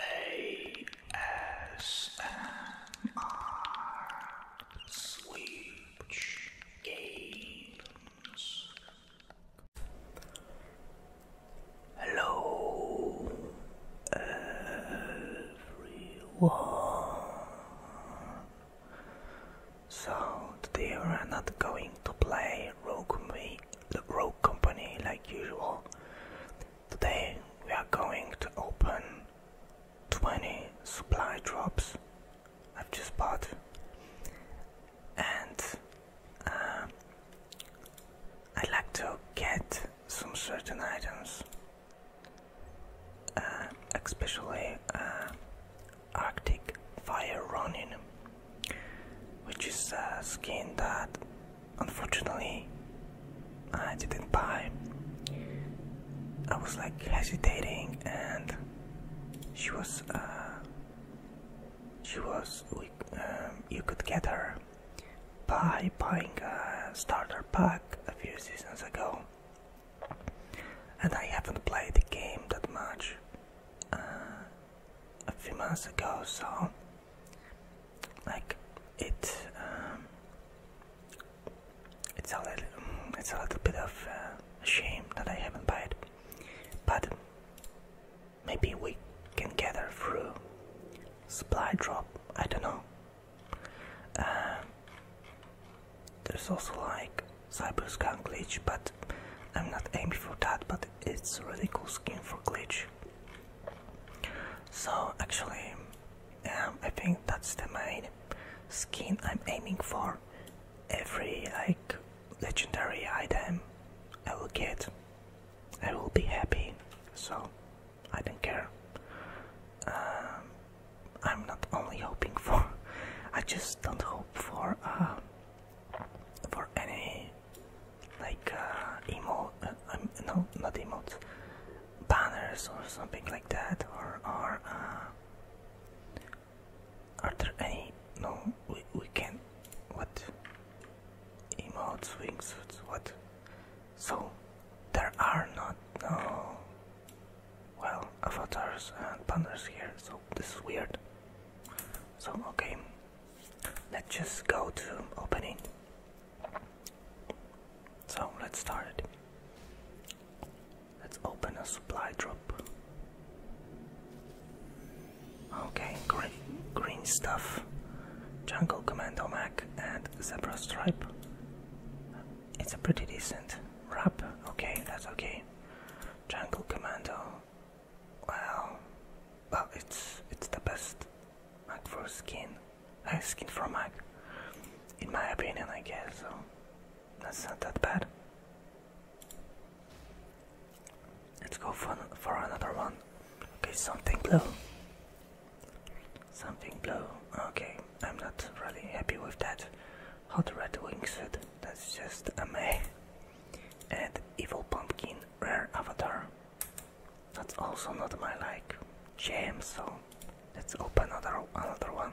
ASMR uh, Switch Games. Hello, everyone. So today we're not going to play Rogue Company, Rogue Company like usual. Today we are going to open 20 supply drops I've just bought and uh, I'd like to get some certain items uh, especially uh, Arctic Fire Running, which is a skin that Unfortunately, I didn't buy. I was like hesitating, and she was, uh, she was, we, um, you could get her by buying a starter pack a few seasons ago. And I haven't played the game that much uh, a few months ago, so like it um, it's a little mm, it's a little bit of uh, shame that I haven't bought it, but maybe we can gather through supply drop. I don't know. Um, there's also like cyber gun glitch, but I'm not aiming for that. But it's a really cool skin for glitch. So actually, um, I think that's the main skin I'm aiming for. Every like legendary item I will get, I will be happy. So I don't care. Um, I'm not only hoping for. I just don't hope for uh, for any like uh, emote, uh, um, no, not emotes, banners or something like that, or or uh, are there any? No, we we can what emotes, wingsuits, what? So there are not no well avatars and banners here, so this is weird. So okay, let's just go to opening so let's start it. Let's open a supply drop. Okay, green, stuff. Jungle Commando Mac and Zebra Stripe. It's a pretty decent wrap. Okay, that's okay. Jungle Commando. Well, well, it's it's the best Mac for skin nice skin for Mac. In my opinion, I guess, so that's not that bad. Let's go for, for another one. Okay, something blue. Something blue. Okay, I'm not really happy with that. Hot red wingsuit, that's just a meh. And evil pumpkin, rare avatar. That's also not my like jam, so let's open another another one.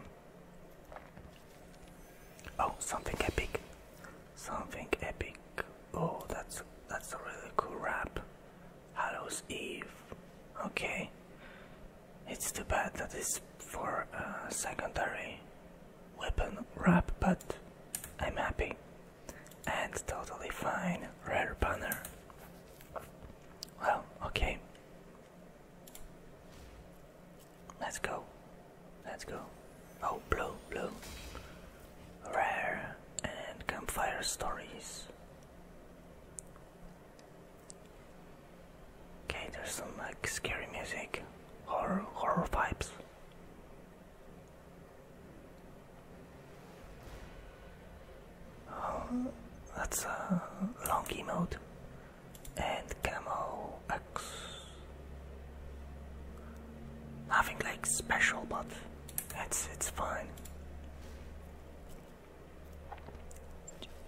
Oh, something epic. Something epic. Oh, that's that's a really cool rap. Hallows Eve. Okay. It's too bad that it's for a secondary weapon rap, but I'm happy and totally fine rare banner. Well, okay. Let's go. Let's go. Oh, blue, blue. Rare and campfire stories. Okay, there's some like scary music, horror, horror vibes. Oh, that's a long emote and camo X. Nothing like special, but it's it's fine.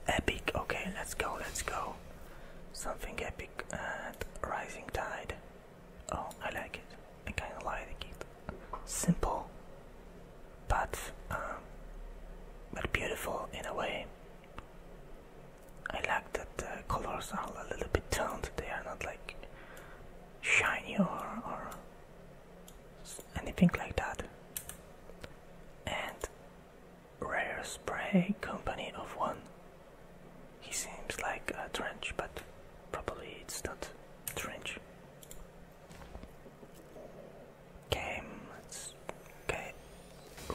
Epic. Okay, let's go. Let's go. Something epic and rising tide. Oh, I like it. I kind of like it simple, but um, but beautiful in a way. I like that the colors are a little bit toned. They are not like shiny or or anything like that. And Rare Spray Company of One. He seems like a trench, but probably it's not trench. Games. Okay.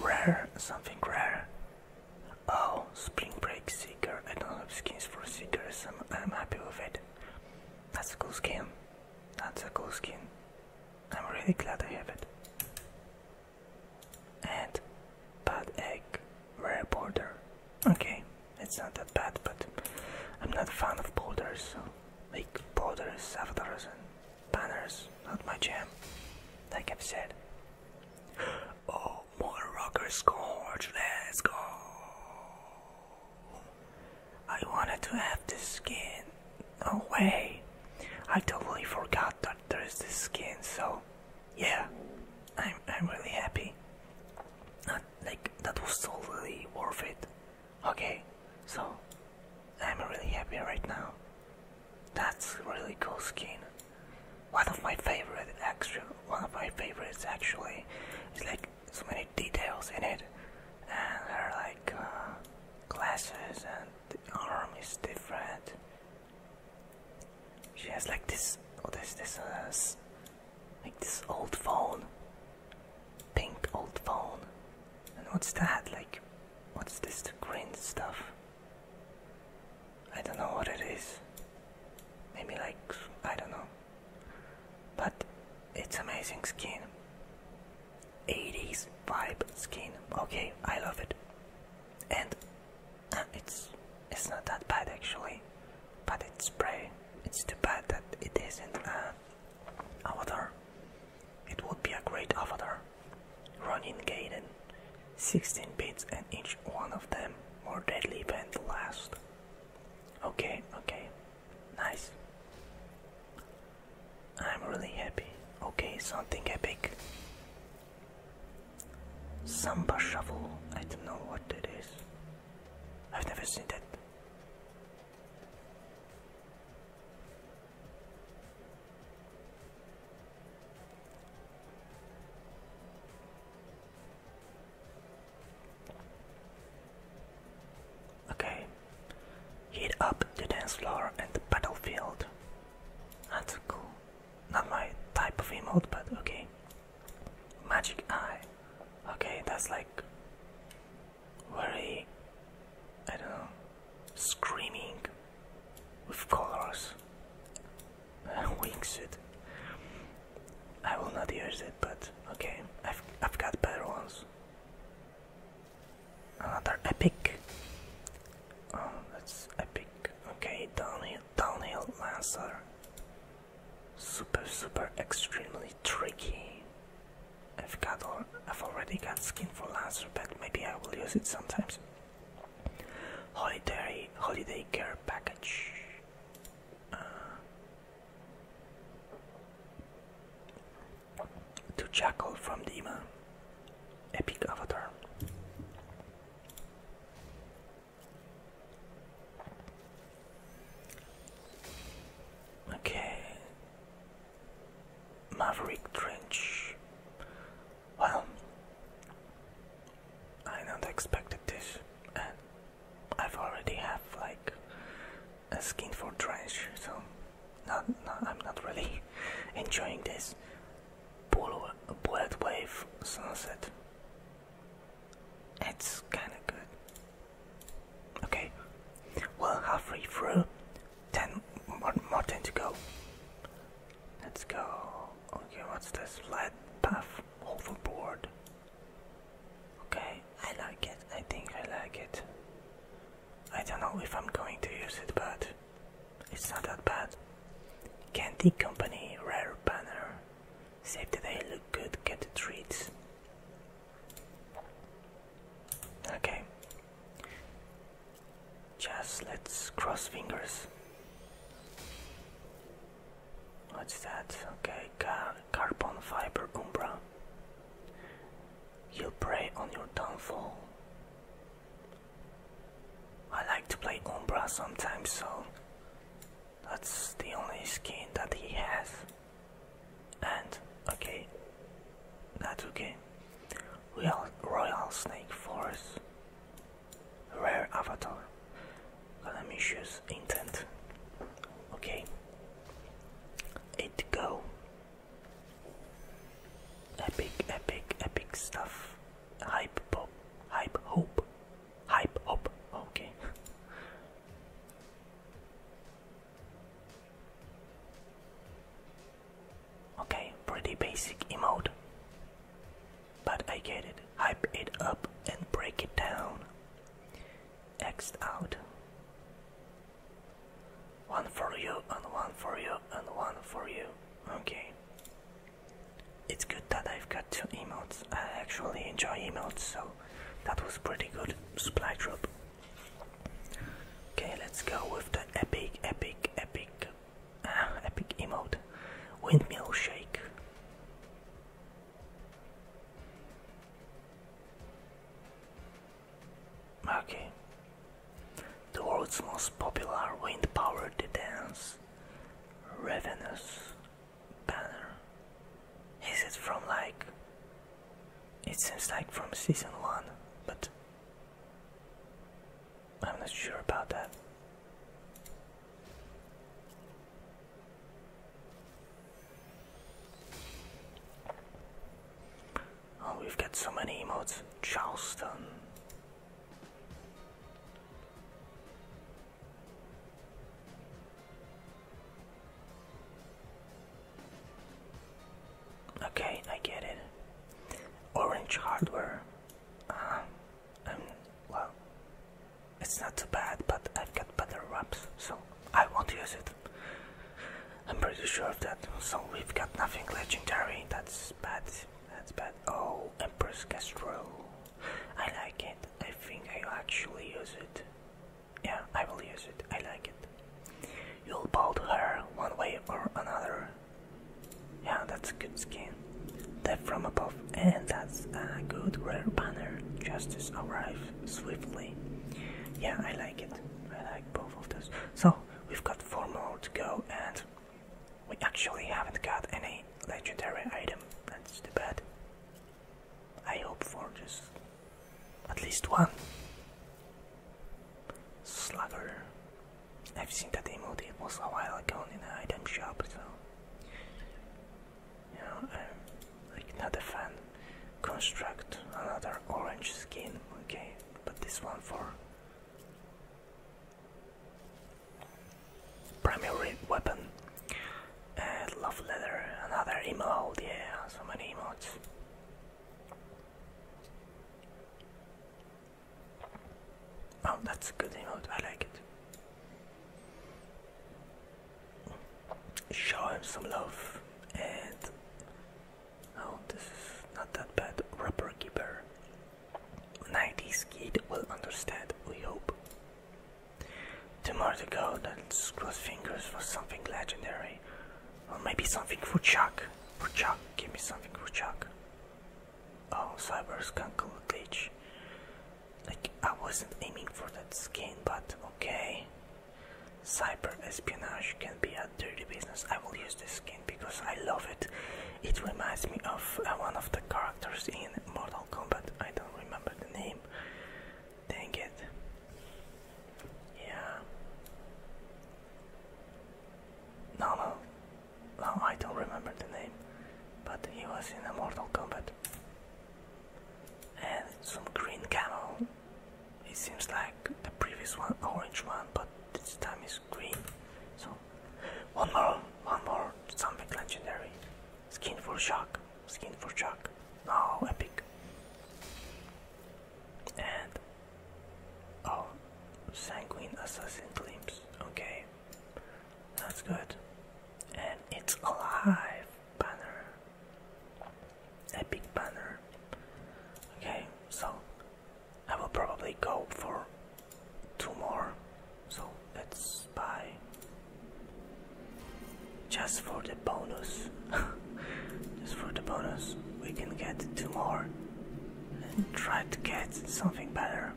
Rare. Something rare. Oh, Spring Break Seeker. I don't have skins for Seekers. I'm, I'm happy with it. That's a cool skin. That's a cool skin. I'm really glad I have it. And bad egg, rare border. Okay, it's not that bad, but I'm not a fan of boulders, so like boulders, avatars, and banners, not my jam, like I've said. Oh, more rocker scorch, let's go! I wanted to have the skin. No way! I totally forgot that there's the skin, so yeah, I'm, I'm really happy that like that was totally worth it. Okay, so I'm really happy right now. That's really cool skin. One of my favorite extra one of my favorites actually. It's like so many details in it, and there are like uh, glasses, and the arm is different. She has like this. What oh, is this? Uh, like this old phone. Pink old phone. And what's that? Like, what's this green stuff? I don't know what it is. Maybe like, I don't know. But it's amazing skin. 80s vibe skin. Okay, I love it. And uh, it's it's not that bad actually but it's spray. It's too bad that it isn't a avatar. It would be a great avatar. Running Gaiden, 16 bits, and each one of them more deadly than the last. Okay, okay, nice. I'm really happy. Okay, something epic. Samba shovel. I don't know what it is. I've never seen that. Okay, heat up the dance floor and the battlefield. That's cool. Not my type of emote, but okay. Magic eye. Okay, that's like very, I don't know, screaming with colors. Uh, wingsuit. I will not use it, but okay, I've, I've got better ones. Another epic. Oh, that's epic. Okay, downhill, downhill lancer super super extremely tricky. I've got all, I've already got skin for Lancer, but maybe I will use it sometimes. Holiday holiday care package. Uh, to Jackal from Dima, Epic Avatar. Okay. Maverick Trench. Well, I not expected this, and I've already have like a skin for trench, so not, I'm not really enjoying this. Bullet wave sunset. It's kinda good. Okay, we're halfway through. Ten more, more ten to go. Let's go. Okay, what's this? Flat path overboard. Okay, I like it. I think I like it. I don't know if I'm going to use it, but it's not that bad. Candy Company, rare banner. Save the day, look good, get the treats. Okay. Just let's cross fingers. What's that? Okay, carbon fiber umbra. You prey on your downfall. I like to play Umbra sometimes, so that's the only skin that he has. And okay, that's okay. Royal, Royal Snake Force, rare avatar, Ganamicious intent. Okay, eight to go. Epic, epic, epic stuff. Hype pop, hype hope, hype hop. Okay. Okay, pretty basic emote. But I get it. Hype it up and break it down. x out. One for you, and one for you, and one for you. Okay. It's good that I've got two emotes. I actually enjoy emotes, so that was pretty good supply drop. Okay, let's go with the epic, epic, epic, uh, epic emote, windmill shake. Okay, the world's most popular wind-powered dance, Ravenous banner? Is it from like. It seems like from season 1, but. I'm not sure about that. Oh, we've got so many emotes. Charleston. Okay, I get it. Orange hardware. Um, um, well. It's not too bad, but I've got better wraps, so I won't use it. I'm pretty sure of that. So we've got nothing legendary. That's bad. That's bad. Oh, Empress Castro. I like it. I think i actually use it. Yeah, I will use it. I like it. You'll bald her one way or another. Yeah, that's a good skin. Death from above, and that's a good rare banner. Justice arrive swiftly. Yeah, I like it. I like both of those. So we've got four more to go, and we actually haven't got any legendary item. That's too bad. I hope for just at least one. Slugger. I've seen that emoji was a while ago in an item shop, so. You know, I'm like not a fan. Construct another orange skin, okay, but this one for. Primary weapon uh, love letter, another emote, oh yeah, so many emotes. Oh, that's a good emote, I like it. Show him some love and... Oh, this is not that bad. Rubber Keeper. 90s kid will understand, we hope. Tomorrow more to go, let's cross fingers for something legendary. Or maybe something for Chuck. For Chuck, give me something for Chuck. Oh, Cyber Skunkle Glitch. Like, I wasn't aiming for that skin, but okay. Cyber espionage can be a dirty business. I will use this skin because I love it. It reminds me of uh, one of the characters in Mortal Kombat. I don't remember the name. Dang it. Yeah. No, no. No, I don't remember the name. But he was in a Mortal Kombat. And some green camel. It seems like the previous one, orange one, but this time is green. So, one more, one more, something legendary. Skin for shock. Skin for shock. Oh, epic. And oh, sanguine assassin glimpse. Okay, that's good. And it's alive banner. Epic banner. Okay, so I will probably go for two more. So let's buy just for the bonus. Just for the bonus, we can get two more and try to get something better.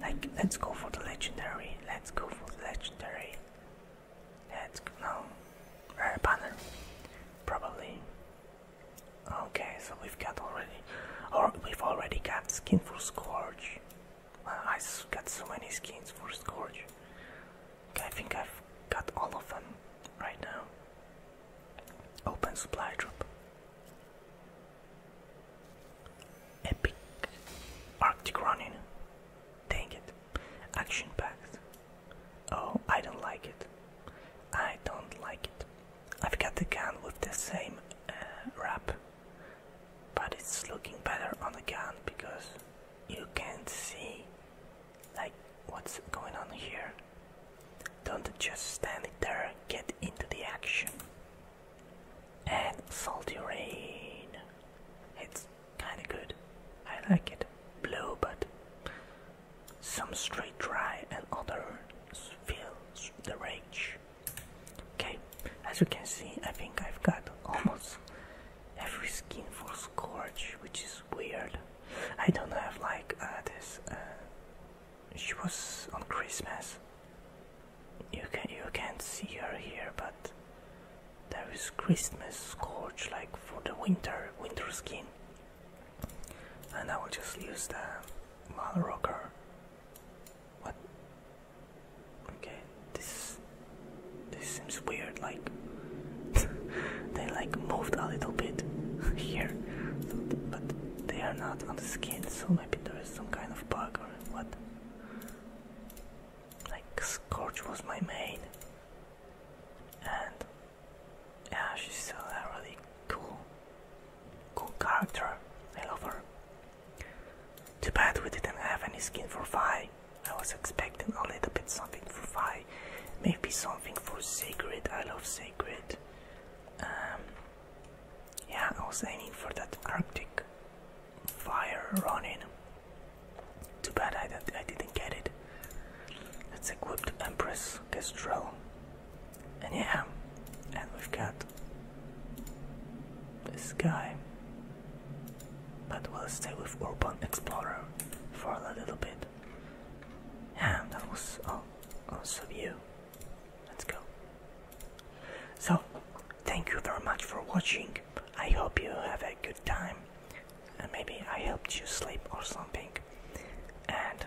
Like, let's go for the legendary. Let's go for the legendary. Let's go. No. Rare banner. Probably. Okay, so we've got already. Or we've already got skin for Scorch. I've got so many skins for Scorch. I think I've got all of them right now. Open supply drop. Epic Arctic running. Dang it. Action packed. Oh, I don't like it. I don't like it. I've got the gun with the same uh, wrap, but it's looking better on the gun because you can see like what's going on here. Don't just stand there, get into the action. And salty rain. It's kinda good. I like it. Blue, but some straight dry and others feel the rage. Okay, as you can see, I think I've got almost every skin for scorch, which is weird. I don't have like uh, this. Uh, she was on Christmas. You can you can't see her here, but there is Christmas scorch like for the winter winter skin. And I will just use the Malrocker. What? Okay, this this seems weird. Like they like moved a little bit here, but they are not on the skin. So maybe there is some kind of bug or what? Like Scorch was my main, and yeah, she's still a really cool, cool character. I love her. Too bad we didn't have any skin for Vi. I was expecting a little bit something for fire, maybe something for sacred. I love sacred. Um, yeah, I was aiming for that Arctic fire running. Too bad I, didn't, I didn't get it. Let's equip the Empress Kestrel. And yeah, and we've got this guy. But we'll stay with Urban Explorer for a little bit. And that was all also you. Let's go. So, thank you very much for watching. I hope you have a good time. And maybe I helped you sleep or something. And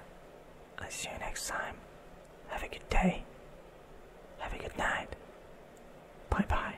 i see you next time. Have a good day. Have a good night. Bye bye.